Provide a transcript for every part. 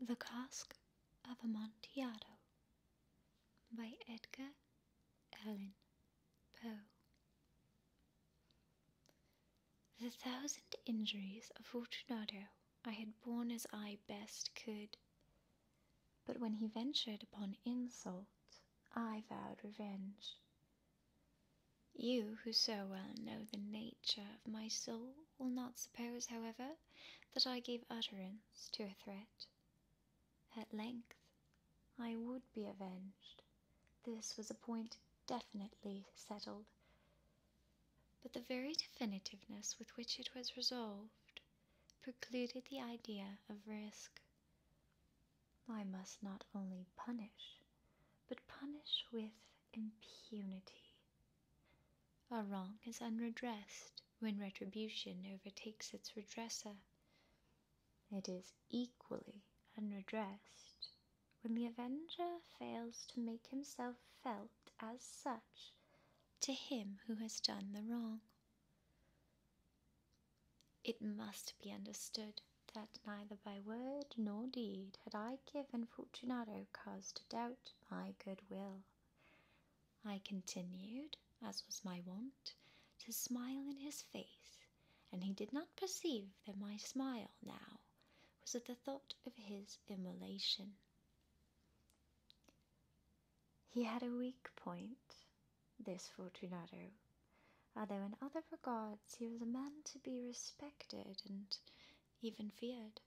The Cask of Amontillado by Edgar Allan Poe. The thousand injuries of Fortunato I had borne as I best could, but when he ventured upon insult, I vowed revenge. You, who so well know the nature of my soul, will not suppose, however, that I gave utterance to a threat. At length, I would be avenged. This was a point definitely settled. But the very definitiveness with which it was resolved precluded the idea of risk. I must not only punish, but punish with impunity. A wrong is unredressed when retribution overtakes its redresser. It is equally unredressed when the avenger fails to make himself felt as such to him who has done the wrong. It must be understood that neither by word nor deed had I given Fortunato cause to doubt my good will. I continued, as was my wont, to smile in his face, and he did not perceive that my smile now was at the thought of his immolation. He had a weak point, this Fortunato, although another other regards he was a man to be respected and even feared.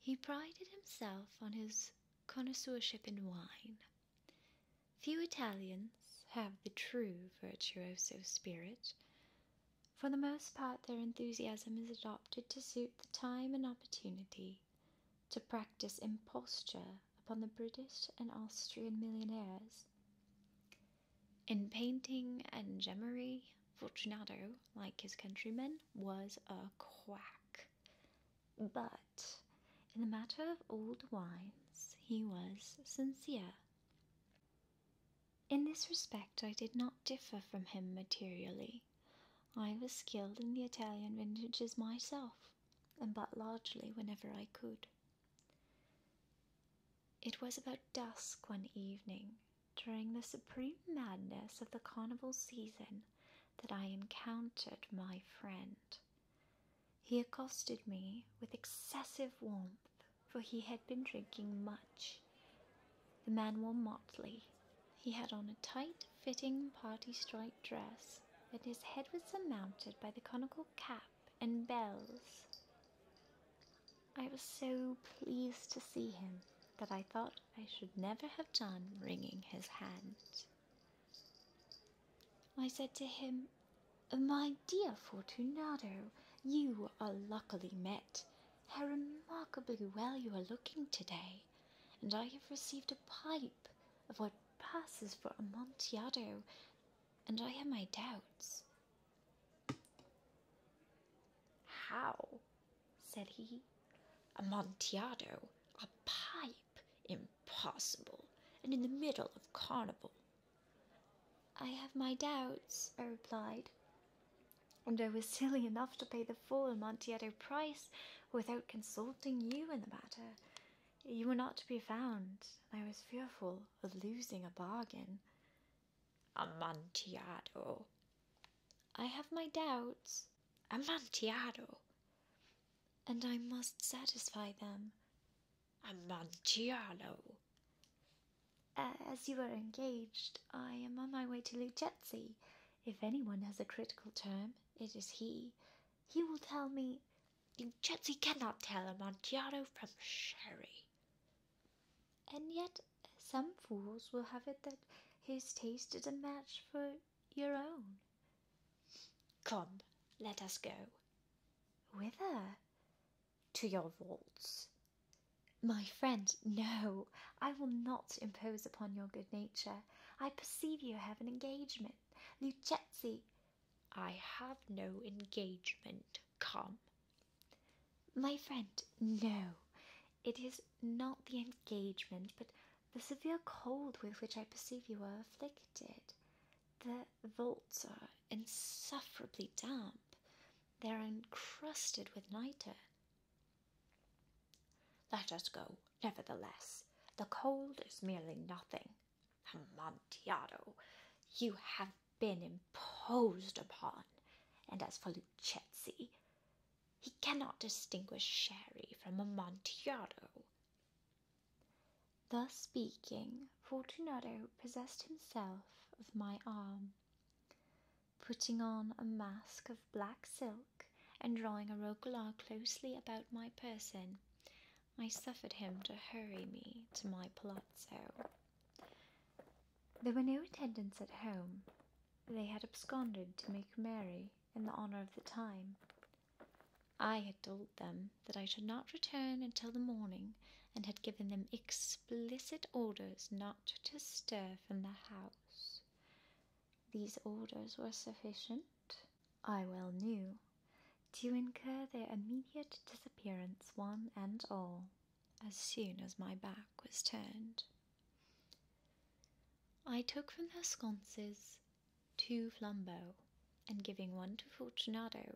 He prided himself on his connoisseurship in wine. Few Italians have the true virtuoso spirit. For the most part, their enthusiasm is adopted to suit the time and opportunity to practice imposture upon the British and Austrian millionaires. In painting and gemmery, Fortunato, like his countrymen, was a quack. But in the matter of old wines, he was sincere. In this respect, I did not differ from him materially. I was skilled in the Italian vintages myself, and bought largely whenever I could. It was about dusk one evening during the supreme madness of the carnival season that I encountered my friend. He accosted me with excessive warmth, for he had been drinking much. The man wore motley. He had on a tight fitting party striped dress, and his head was surmounted by the conical cap and bells. I was so pleased to see him that I thought I should never have done wringing his hand. I said to him, My dear Fortunato, you are luckily met. How remarkably well you are looking today, and I have received a pipe of what passes for Amontillado, and I have my doubts how? said he. Amontillado, a pipe, impossible, and in the middle of carnival. I have my doubts, I replied, and I was silly enough to pay the full Amontillado price without consulting you in the matter. You were not to be found, and I was fearful of losing a bargain. Amontillado. I have my doubts. Amontillado. And I must satisfy them. Amontillado. As you are engaged, I am on my way to Luchesi. If anyone has a critical term, it is he. He will tell me Vincenzi cannot tell a Amontillado from Sherry. And yet, some fools will have it that his taste is a match for your own. Come, let us go. Whither? To your vaults. My friend, no, I will not impose upon your good nature. I perceive you have an engagement. Luchezzi, I have no engagement come? My friend, no. It is not the engagement, but the severe cold with which I perceive you are afflicted. The vaults are insufferably damp. They are encrusted with niter. Let us go, nevertheless. The cold is merely nothing. Amontillado, you have been imposed upon. And as for Luchesi, he cannot distinguish sherry from Amontillado. Thus speaking, Fortunato possessed himself of my arm. Putting on a mask of black silk and drawing a roquelaure closely about my person, I suffered him to hurry me to my palazzo. There were no attendants at home. They had absconded to make merry in the honor of the time. I had told them that I should not return until the morning, and had given them explicit orders not to stir from the house. These orders were sufficient, I well knew, to incur their immediate disappearance, one and all, as soon as my back was turned. I took from their sconces two flambeaux, and giving one to Fortunato,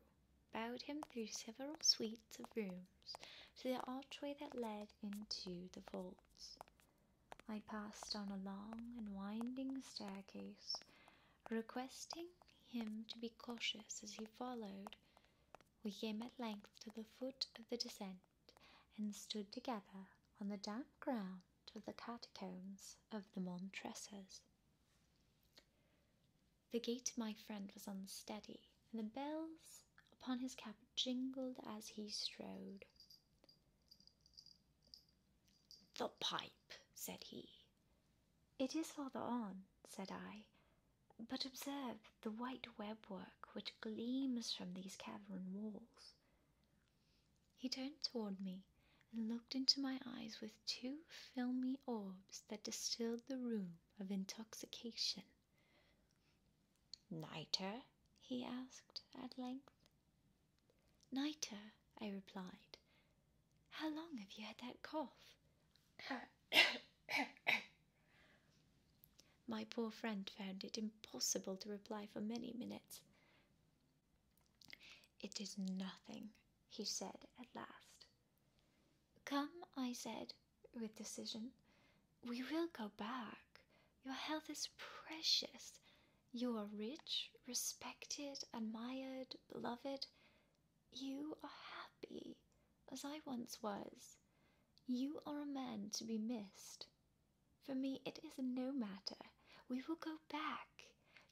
bowed him through several suites of rooms to the archway that led into the vaults. I passed down a long and winding staircase requesting him to be cautious as he followed. We came at length to the foot of the descent and stood together on the damp ground of the catacombs of the Montresors. The gait of my friend was unsteady, and the bells upon his cap jingled as he strode. The pipe, said he, it is farther on, said I, but observe the white webwork which gleams from these cavern walls. He turned toward me and looked into my eyes with two filmy orbs that distilled the room of intoxication. Nitre? he asked at length. Nitre, I replied, how long have you had that cough? My poor friend found it impossible to reply for many minutes. It is nothing, he said at last. Come, I said, with decision. We will go back. Your health is precious. You are rich, respected, admired, beloved, you are happy, as I once was. You are a man to be missed. For me, it is no matter. We will go back.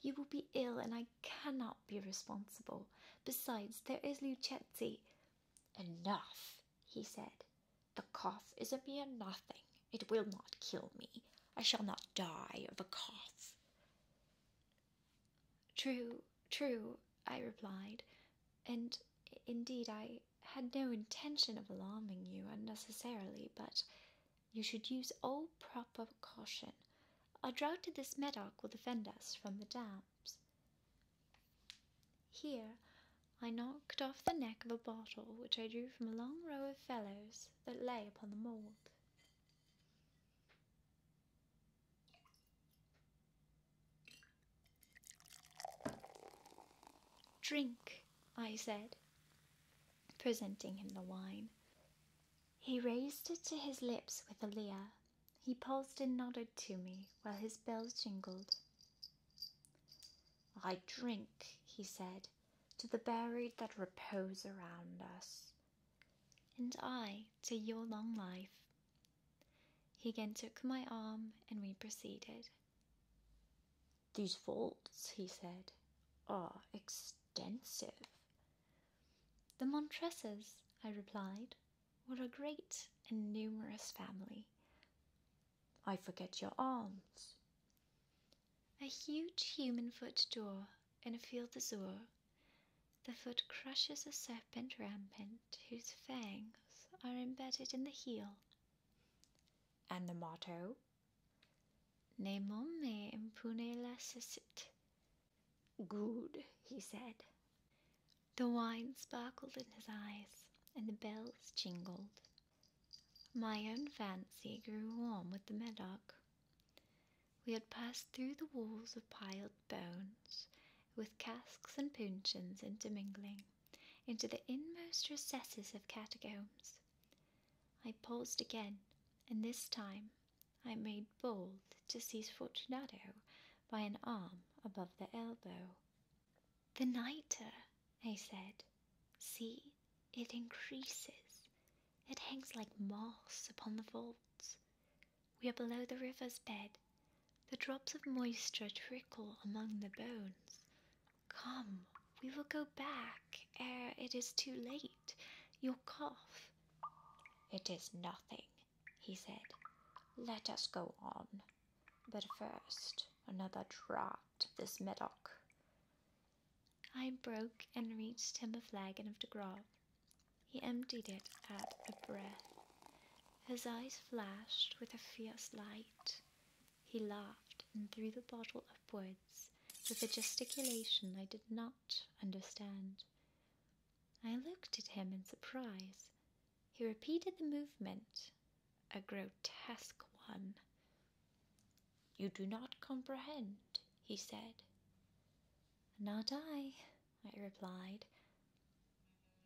You will be ill, and I cannot be responsible. Besides, there is Lucchesi. Enough, he said. The cough is a mere nothing. It will not kill me. I shall not die of a cough. True, true, I replied, and indeed I had no intention of alarming you unnecessarily, but you should use all proper caution. A draught of this medoc will defend us from the damps. Here I knocked off the neck of a bottle which I drew from a long row of fellows that lay upon the mould. Drink, I said, presenting him the wine. He raised it to his lips with a leer. He paused and nodded to me while his bells jingled. I drink, he said, to the buried that repose around us, and I to your long life. He again took my arm, and we proceeded. These vaults, he said, are extensive. The Montresors, I replied, were a great and numerous family. I forget your arms. A huge human foot door in a field azure. The foot crushes a serpent rampant whose fangs are embedded in the heel. And the motto? Ne me impune lacessit. Good, he said. The wine sparkled in his eyes, and the bells jingled. My own fancy grew warm with the Medoc. We had passed through the walls of piled bones, with casks and puncheons intermingling, into the inmost recesses of catacombs. I paused again, and this time I made bold to seize Fortunato by an arm above the elbow. The nitre, I said, See, it increases. It hangs like moss upon the vaults. We are below the river's bed. The drops of moisture trickle among the bones. Come, we will go back ere it is too late. Your cough. It is nothing, he said. Let us go on. But first, another draught of this medoc. I broke and reached him a flagon of the grog. He emptied it at a breath. His eyes flashed with a fierce light. He laughed and threw the bottle upwards with a gesticulation I did not understand. I looked at him in surprise. He repeated the movement, a grotesque one. You do not comprehend, he said. Not I, I replied.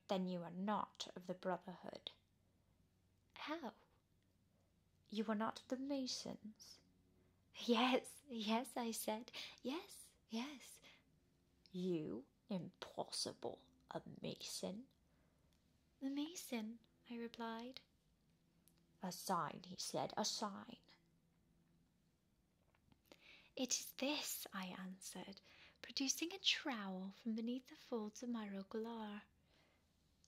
Then you are not of the Brotherhood. How? You are not of the Masons. Yes, yes, I said. Yes, yes. You? Impossible. A Mason? "The Mason, I replied. A sign, he said, a sign. It is this, I answered, producing a trowel from beneath the folds of my roquelaure.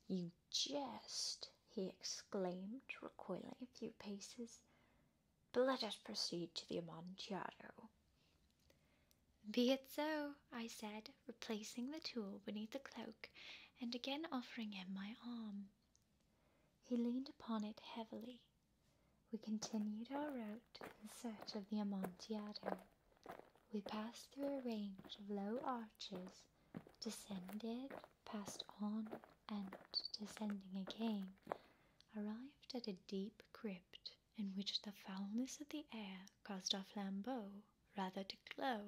You jest, he exclaimed, recoiling a few paces. But let us proceed to the Amontillado. Be it so, I said, replacing the tool beneath the and again offering him my arm. He leaned upon it heavily. We continued our route in search of the Amontillado. We passed through a range of low arches, descended, passed on, and, descending again, arrived at a deep crypt in which the foulness of the air caused our flambeaux rather to glow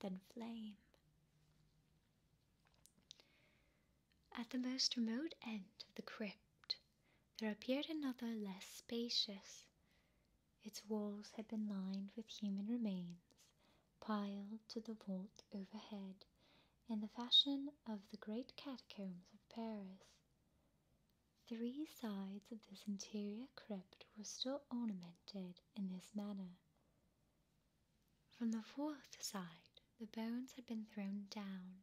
than flame. At the most remote end of the crypt, there appeared another less spacious. Its walls had been lined with human remains, piled to the vault overhead in the fashion of the great catacombs of Paris. Three sides of this interior crypt were still ornamented in this manner, from the fourth side, the bones had been thrown down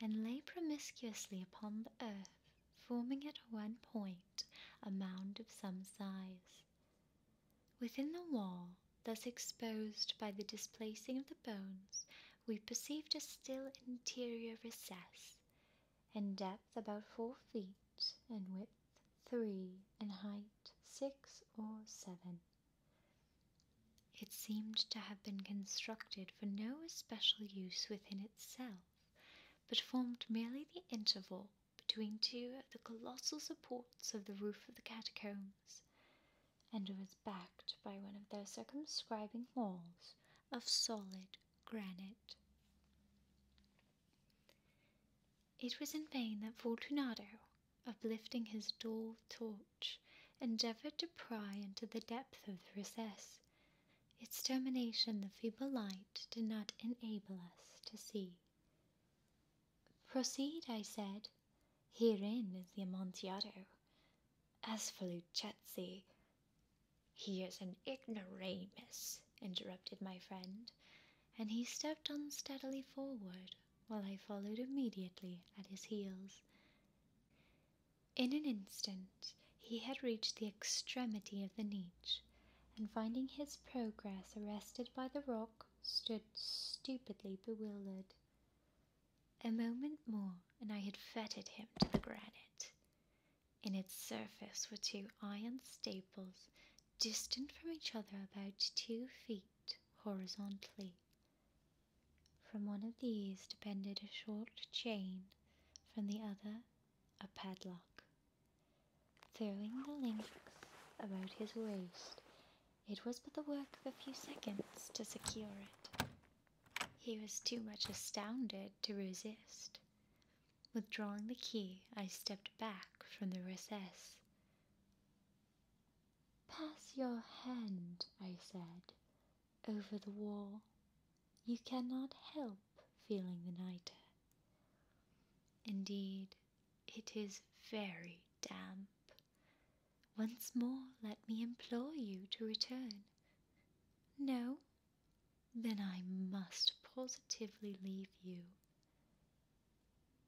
and lay promiscuously upon the earth, forming at one point a mound of some size. Within the wall, thus exposed by the displacing of the bones, we perceived a still interior recess, in depth about four feet and width three in height, six or seven. It seemed to have been constructed for no especial use within itself, but formed merely the interval between two of the colossal supports of the roof of the catacombs, and was backed by one of their circumscribing walls of solid granite. It was in vain that Fortunato, uplifting his dull torch, endeavoured to pry into the depth of the recess. Its termination the feeble light did not enable us to see. Proceed, I said. Herein is the Amontillado. As for Luchesi, he is an ignoramus, interrupted my friend, and he stepped unsteadily forward, while I followed immediately at his heels. In an instant, he had reached the extremity of the niche, and finding his progress arrested by the rock, stood stupidly bewildered. A moment more, and I had fettered him to the granite in its surface were two iron staples distant from each other about two feet horizontally. From one of these depended a short chain, from the other a padlock. Throwing the links about his waist, it was but the work of a few seconds to secure it. He was too much astounded to resist. Withdrawing the key, I stepped back from the recess. Pass your hand, I said, over the wall. You cannot help feeling the nitre. Indeed, it is very damp. Once more, let me implore you to return. No, then I must positively leave you.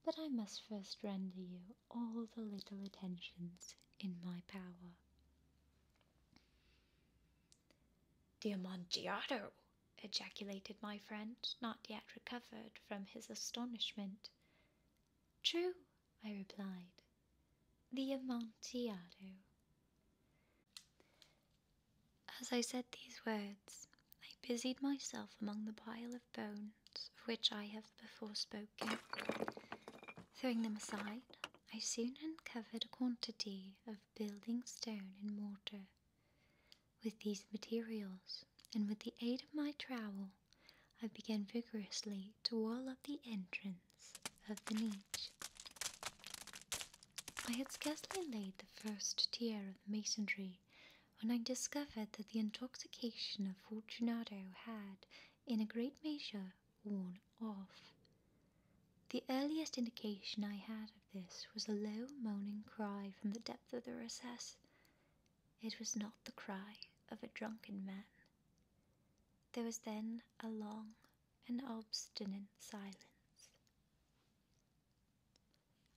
But I must first render you all the little attentions in my power. The amontillado! ejaculated my friend, not yet recovered from his astonishment. True, I replied. The Amontillado. As I said these words, I busied myself among the pile of bones of which I have before spoken. Throwing them aside, I soon uncovered a quantity of building stone and mortar. With these materials, and with the aid of my trowel, I began vigorously to wall up the entrance of the niche. I had scarcely laid the first tier of masonry when I discovered that the intoxication of Fortunato had, in a great measure, worn off. The earliest indication I had of this was a low moaning cry from the depth of the recess. It was not the cry of a drunken man. There was then a long, an obstinate silence.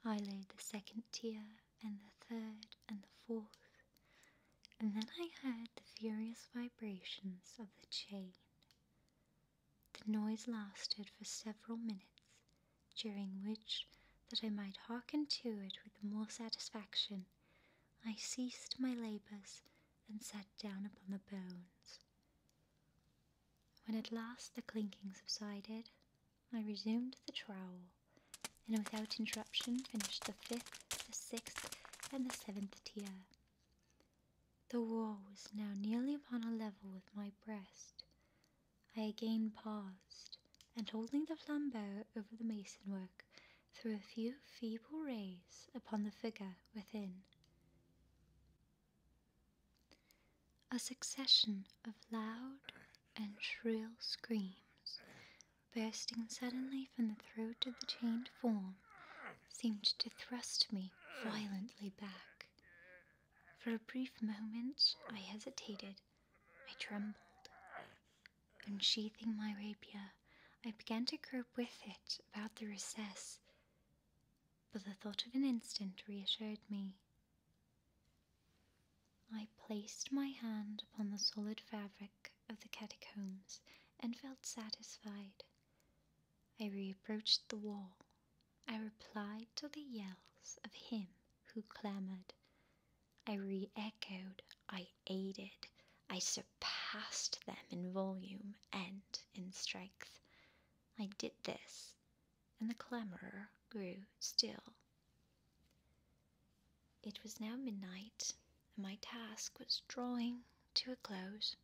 I laid the second tier, and the third, and the fourth, and then I heard the furious vibrations of the chain. The noise lasted for several minutes, during which, that I might hearken to it with more satisfaction, I ceased my labours and sat down upon the bones. When at last the clinking subsided, I resumed the trowel, and without interruption finished the fifth, the sixth, and the seventh tier. The wall was now nearly upon a level with my breast. I again paused, and holding the flambeau over the mason work, threw a few feeble rays upon the figure within. A succession of loud and shrill screams, bursting suddenly from the throat of the chained form, seemed to thrust me violently back. For a brief moment I hesitated, I trembled. Unsheathing my rapier, I began to grope with it about the recess but the thought of an instant reassured me. I placed my hand upon the solid fabric of the catacombs and felt satisfied. I reapproached the wall. I replied to the yells of him who clamoured. I re echoed, I aided, I surpassed them in volume and in strength. I did this, and the clamor grew still. It was now midnight, and my task was drawing to a close.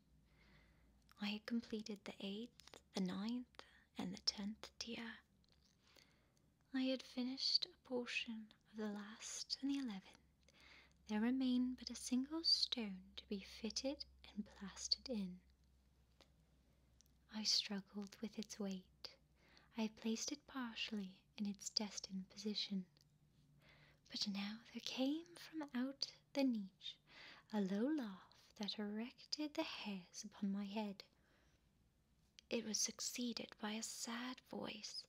I had completed the eighth, the ninth, and the tenth tier. I had finished a portion of the last and the eleventh. There remained but a single stone to be fitted and plastered in. I struggled with its weight. I placed it partially in its destined position. But now there came from out the niche a low laugh that erected the hairs upon my head. It was succeeded by a sad voice,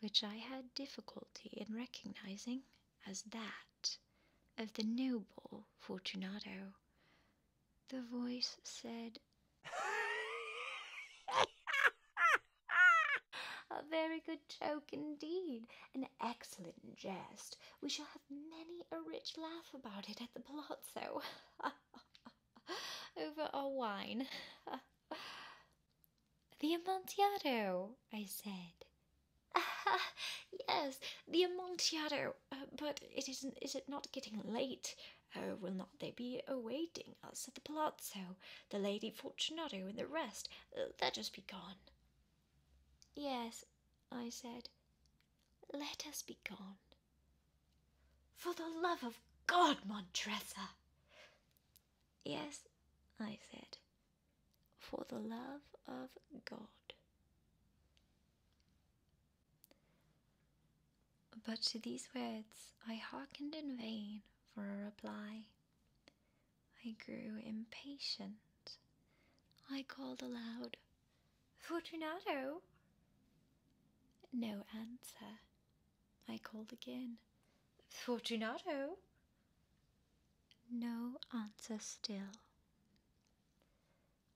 which I had difficulty in recognizing as that of the noble Fortunato. The voice said, A very good joke indeed, an excellent jest. We shall have many a rich laugh about it at the palazzo, over our wine. the Amontillado, I said. Ah, yes, the Amontillado. Uh, but it isn't. Is it not getting late? Uh, will not they be awaiting us at the palazzo? The Lady Fortunato and the rest. Uh, they'll just be gone. Yes, I said. Let us be gone. For the love of God, Montresor. Yes, I said for the love of God. But to these words I hearkened in vain for a reply. I grew impatient. I called aloud, Fortunato! No answer. I called again, Fortunato! No answer still.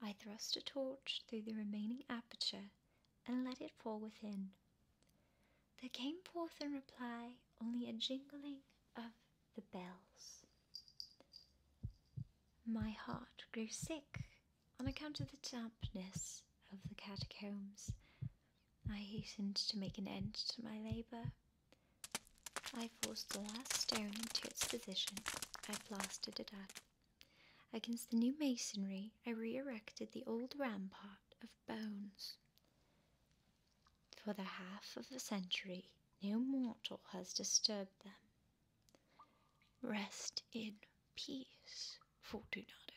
I thrust a torch through the remaining aperture and let it fall within. There came forth in reply only a jingling of the bells. My heart grew sick on account of the dampness of the catacombs. I hastened to make an end to my labour I forced the last stone into its position. I plastered it up. Against the new masonry, I re erected the old rampart of bones. For the half of a century, no mortal has disturbed them. Rest in peace, Fortunato.